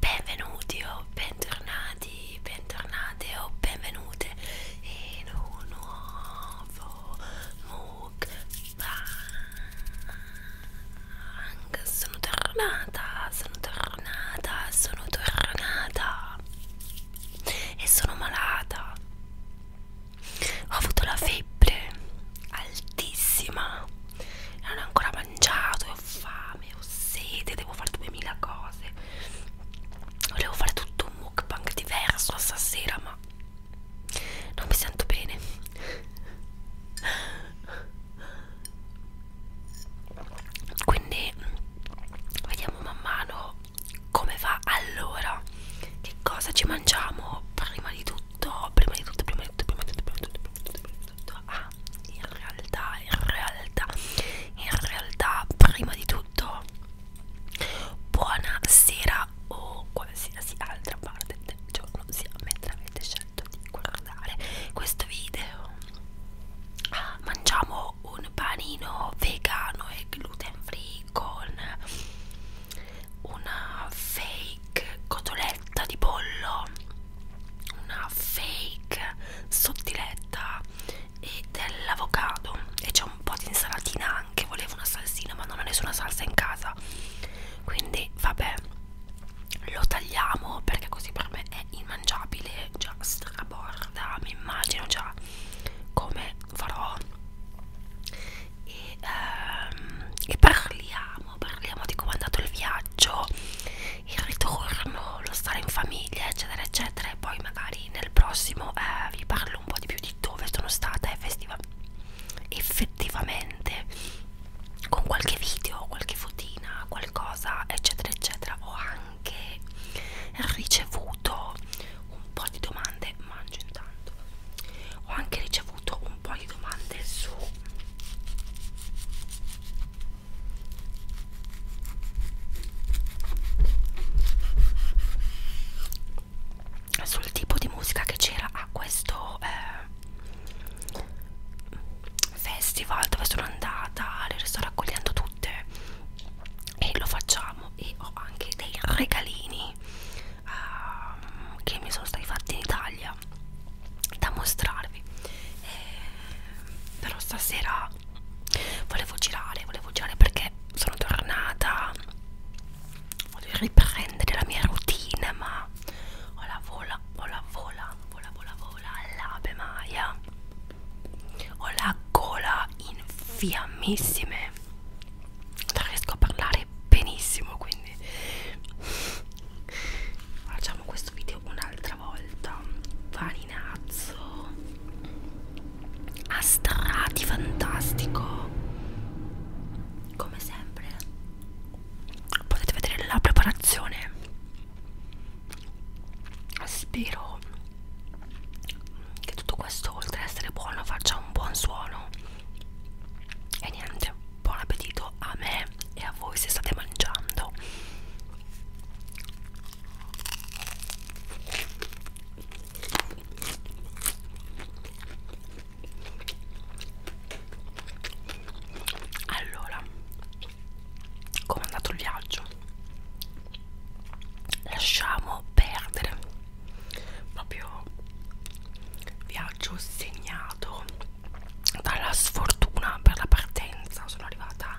Benvenuti o bentornati, bentornate o benvenute in un nuovo mukbang. Sono tornata, sono tornata, sono tornata e sono malata. Ho avuto la febbre altissima non ho ancora mangiato, ho fame, ho sete, devo fare 2000 cose. Volevo fare tutto un mukbang diverso stasera, ma non mi sento bene. Quindi vediamo man mano come va allora. Che cosa ci mangiamo prima di tutto? tutto, prima di tutto, prima di tutto, prima di tutto, prima di tutto, prima di tutto, prima di tutto. Ah, in realtà, in realtà, in realtà, prima di tutto, buonasera o qualsiasi altra parte del giorno sia mentre avete scelto di guardare questo video. Ah, mangiamo un panino vegano e gluten free con una fake cotoletta di pollo, una fake sottiletta e dell'avocado e c'è un po' di insalatina anche, volevo una salsina ma non ho nessuna salsa in casa quindi vabbè lo tagliamo perché così per me è immangiabile già straborda mi immagino già come farò e, ehm, e parliamo, parliamo di come è andato il viaggio, il ritorno, lo stare in famiglia, eccetera, eccetera. E poi magari nel prossimo eh, vi parlo un po' di più di dove sono stata effettiva, effettivamente, con qualche video, qualche fotina, qualcosa, eccetera, eccetera. Ho anche ricevuto un po' di domande scusate mangio intanto ho anche ricevuto un po' di domande su sul tipo di musica che c'era a questo eh, festival dove sono andata le sto raccogliendo tutte e lo facciamo e ho anche dei regalini uh, che mi sono stati fatti in Italia da mostrarvi eh, però stasera volevo girare volevo girare perché sono tornata voglio riprendere la mia routine ma ho la vola ho la vola vola vola vola all'abe maia ho la gola in fiammissime non riesco a parlare benissimo quindi facciamo questo video un'altra volta farinazzo a strati fantastico come sempre potete vedere la preparazione spero che tutto questo oltre ad essere buono faccia un buon suono e niente buon appetito a me e a voi se state mangiando allora come è andato il viaggio lasciamo perdere proprio viaggio segnato dalla sfortuna per la partenza sono arrivata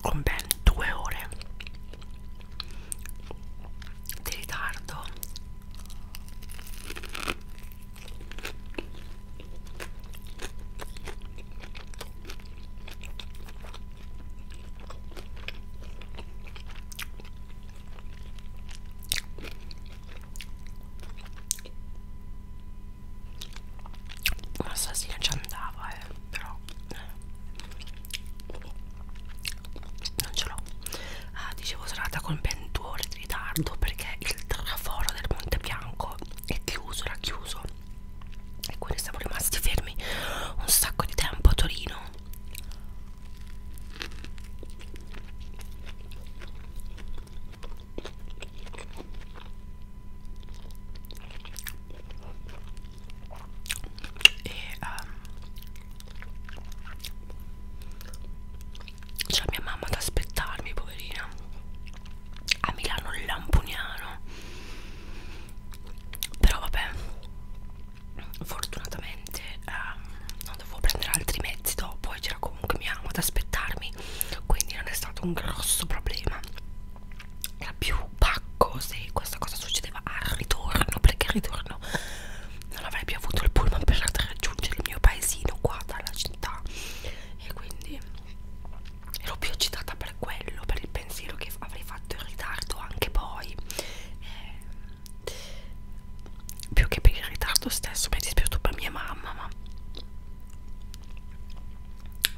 con ben due ore di ritardo Ma stasera ci andava, eh, però non ce l'ho ah, dicevo sono andata con 22 ore di ritardo perché il traforo del Monte Bianco è chiuso, era chiuso e quindi siamo rimasti fermi un sacco di tempo a Torino e um, c'è mia mamma ad aspettarmi, poverina, a Milano Lampuniano. Però vabbè, fortunatamente ehm, non dovevo prendere altri mezzi dopo e c'era comunque mia mamma ad aspettarmi, quindi non è stato un grosso problema. Era più pacco se questa cosa succedeva al ritorno, perché al ritorno non avrei più avuto il pullman per raggiungere il mio paesino qua dalla città e quindi ero più eccitata per quello per il pensiero che avrei fatto in ritardo anche poi eh, più che per il ritardo stesso mi è dispiaciuto per mia mamma ma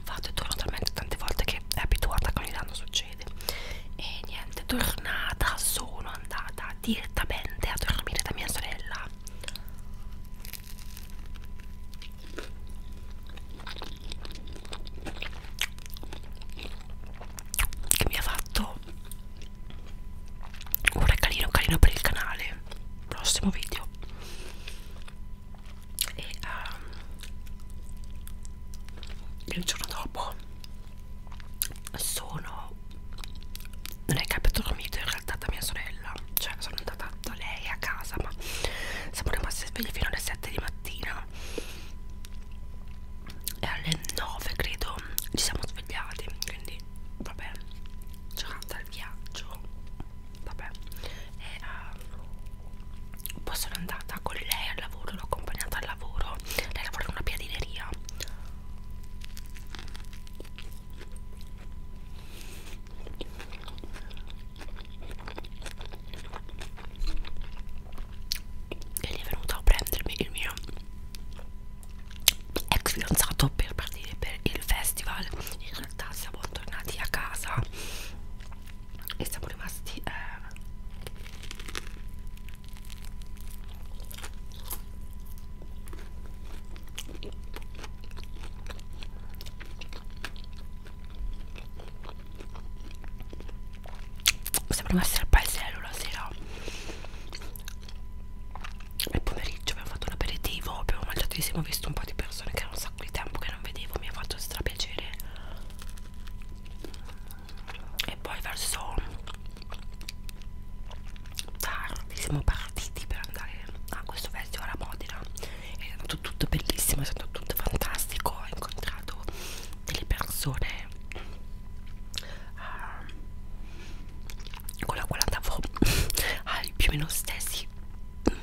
vado e torno talmente tante volte che è abituata che ogni anno succede e niente tornata sono andata direttamente a dormire da mia sorella che mi ha fatto un regalino carino per il canale prossimo video e um, il giorno dopo sono non è che abbia dormito in realtà da mia sorella cioè sono andata da lei a casa ma siamo rimasti svegli fino alle 7 di mattina e alle 9 credo ci siamo svegliati quindi vabbè giocata al viaggio vabbè e uh, poi sono andata con lei al lavoro l'ho accompagnata al lavoro lei lavora in una piadineria e lì è venuto a prendermi il mio ex fidanzato per partire per il festival in realtà siamo tornati a casa e siamo rimasti eh, Sembrava essere al paesello la sera nel pomeriggio abbiamo fatto un aperitivo, abbiamo mangiato insieme, ho visto un po' di persone che era un sacco di tempo che non vedevo, mi ha fatto strapiacere e poi verso tardi siamo partiti per andare a questo festival a Modena è stato tutto bellissimo, è stato tutto fantastico ho incontrato delle persone uh, con la quale andavo ai più o meno stessi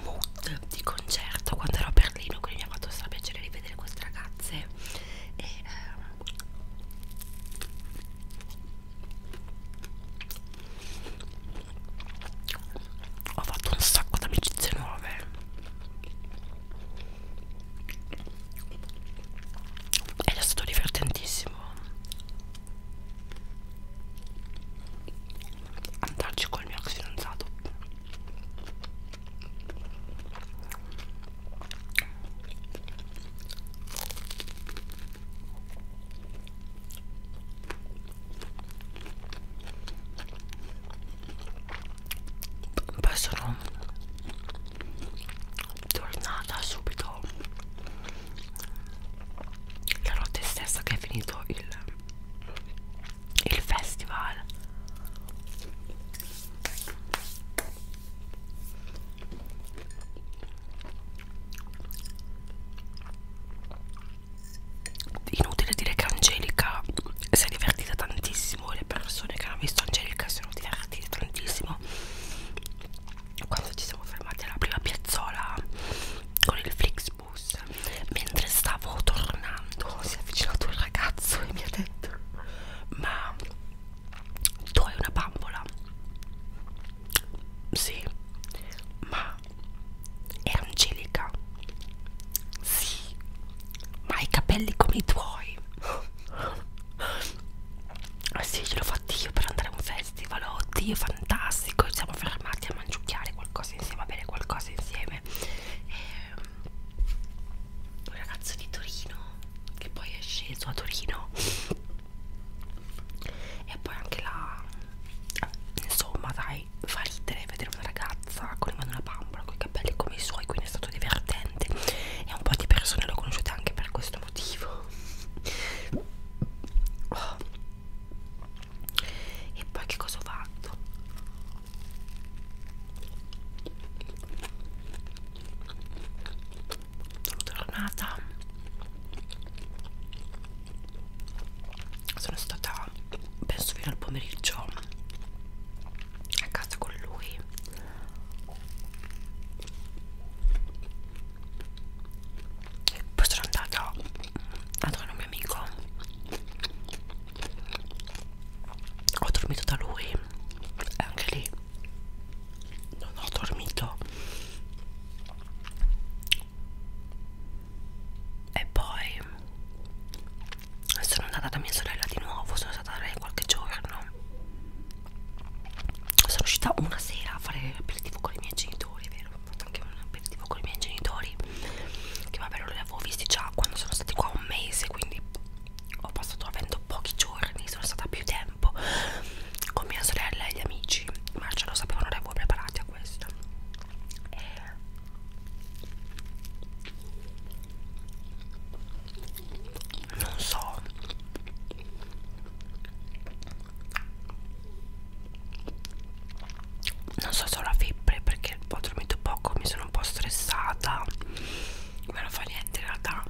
mood di concerto quando ero a Berlino quindi mi ha fatto strapiacere rivedere queste ragazze e uh, ho fatto un sacco di amicizie nuove ed è stato divertentissimo andarci col mio ex fidanzato poi sono tornata subito la notte stessa che è finito il, il festival Inutile dire che Angelica si è divertita tantissimo. Le persone che hanno visto Angelica si sono divertite tantissimo. Quando ci siamo fermati alla prima piazzola con il Flixbus, mentre stavo tornando, si è avvicinato un ragazzo e mi ha detto: Ma tu hai una bambola sì ma è angelica sì ma ha i capelli come i tuoi ah, sì ce l'ho fatto io per andare a un festival oddio fantastico ci siamo fermati a mangiucchiare qualcosa insieme a bere qualcosa insieme e eh, un ragazzo di Torino che poi è sceso a Torino e poi anche la insomma dai fa ridere vedere una ragazza con in mano una bambola con i capelli come i suoi quindi è stato divertente e un po' di persone l'ho conosciuta anche per questo motivo oh. e poi che cosa ho fatto sono tornata sono stata penso fino al pomeriggio a casa con lui poi sono andata ad un mio amico ho dormito da lui e anche lì non ho dormito e poi sono andata da mia sorella di nuovo sono stata da lei qualche giorno sono uscita una sera a fare l'aperitivo con i miei genitori vero ho fatto anche un aperitivo con i miei genitori che vabbè non li avevo visti già quando sono stati qua un mese quindi ho passato avendo pochi giorni, sono stata più tempo con mia sorella e gli amici, ma ce lo sapevano, avevo preparati a questo. E... Non so. Non so se ho la febbre perché ho dormito poco, mi sono un po' stressata ma non fa niente in realtà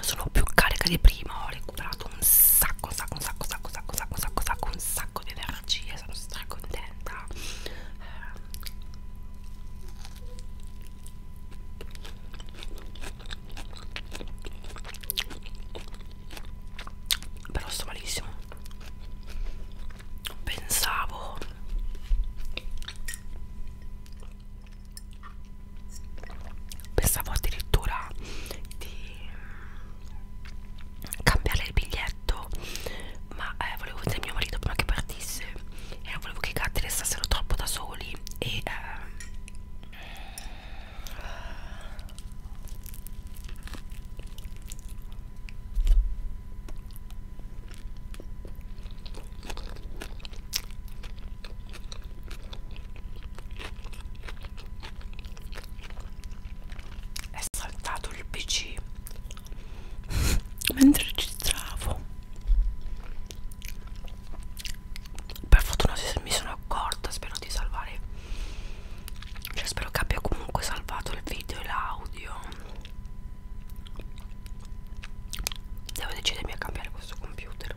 sono più carica di prima ho recuperato un sacco un sacco un sacco un sacco un sacco un sacco un sacco, un sacco, un sacco di energie sono stracontenta però sto malissimo pensavo pensavo addirittura di mm, cambiare il biglietto ma eh, volevo vedere mio marito prima che partisse e non volevo che i gatti restassero troppo da soli e eh, è saltato il pc mentre registravo. Per fortuna mi sono accorta, spero di salvare. Cioè spero che abbia comunque salvato il video e l'audio devo decidermi a cambiare questo computer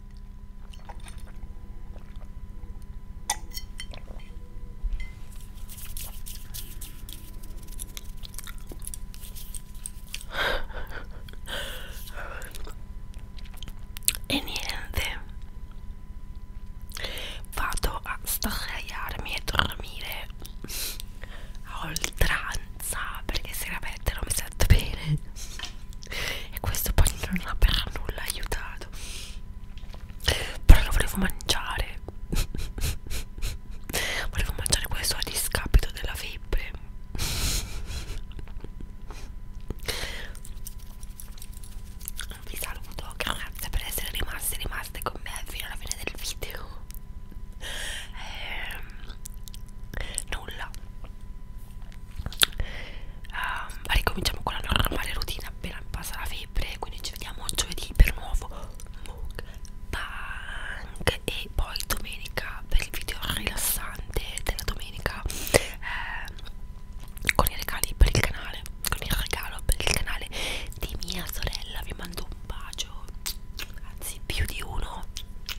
e niente vado a sdraiarmi e dormire a oltranza perché se la metto non mi sento bene e questo poi non ha per nulla aiutato però lo volevo mangiare volevo mangiare questo a discapito della febbre vi saluto grazie per essere rimasti rimaste con me fino alla fine del video ehm, nulla uh, ricominciamo con la normale routine appena passa la febbre quindi ci vediamo giovedì per un nuovo mukbang e poi domenica per il video rilassante della domenica eh, con i regali per il canale con il regalo per il canale di mia sorella vi mando un bacio anzi più di uno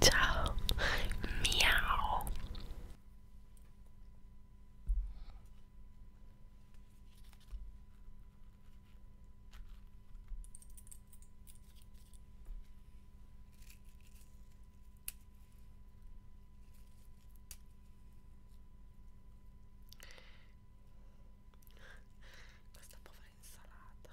Ciao. Miau. Questa povera insalata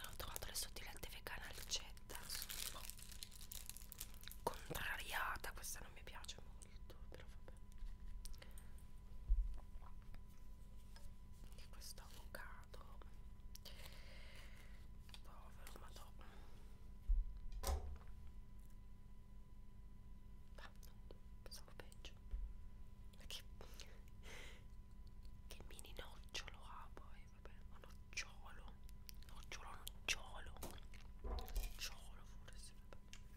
ho trovato le sottilette vegane alcetta sono boh. contrariata questa non mi piace molto però vabbè e questo avocado povero madonna ma pensavo peggio perché che mini nocciolo ha poi vabbè ma nocciolo nocciolo nocciolo nocciolo forse vabbè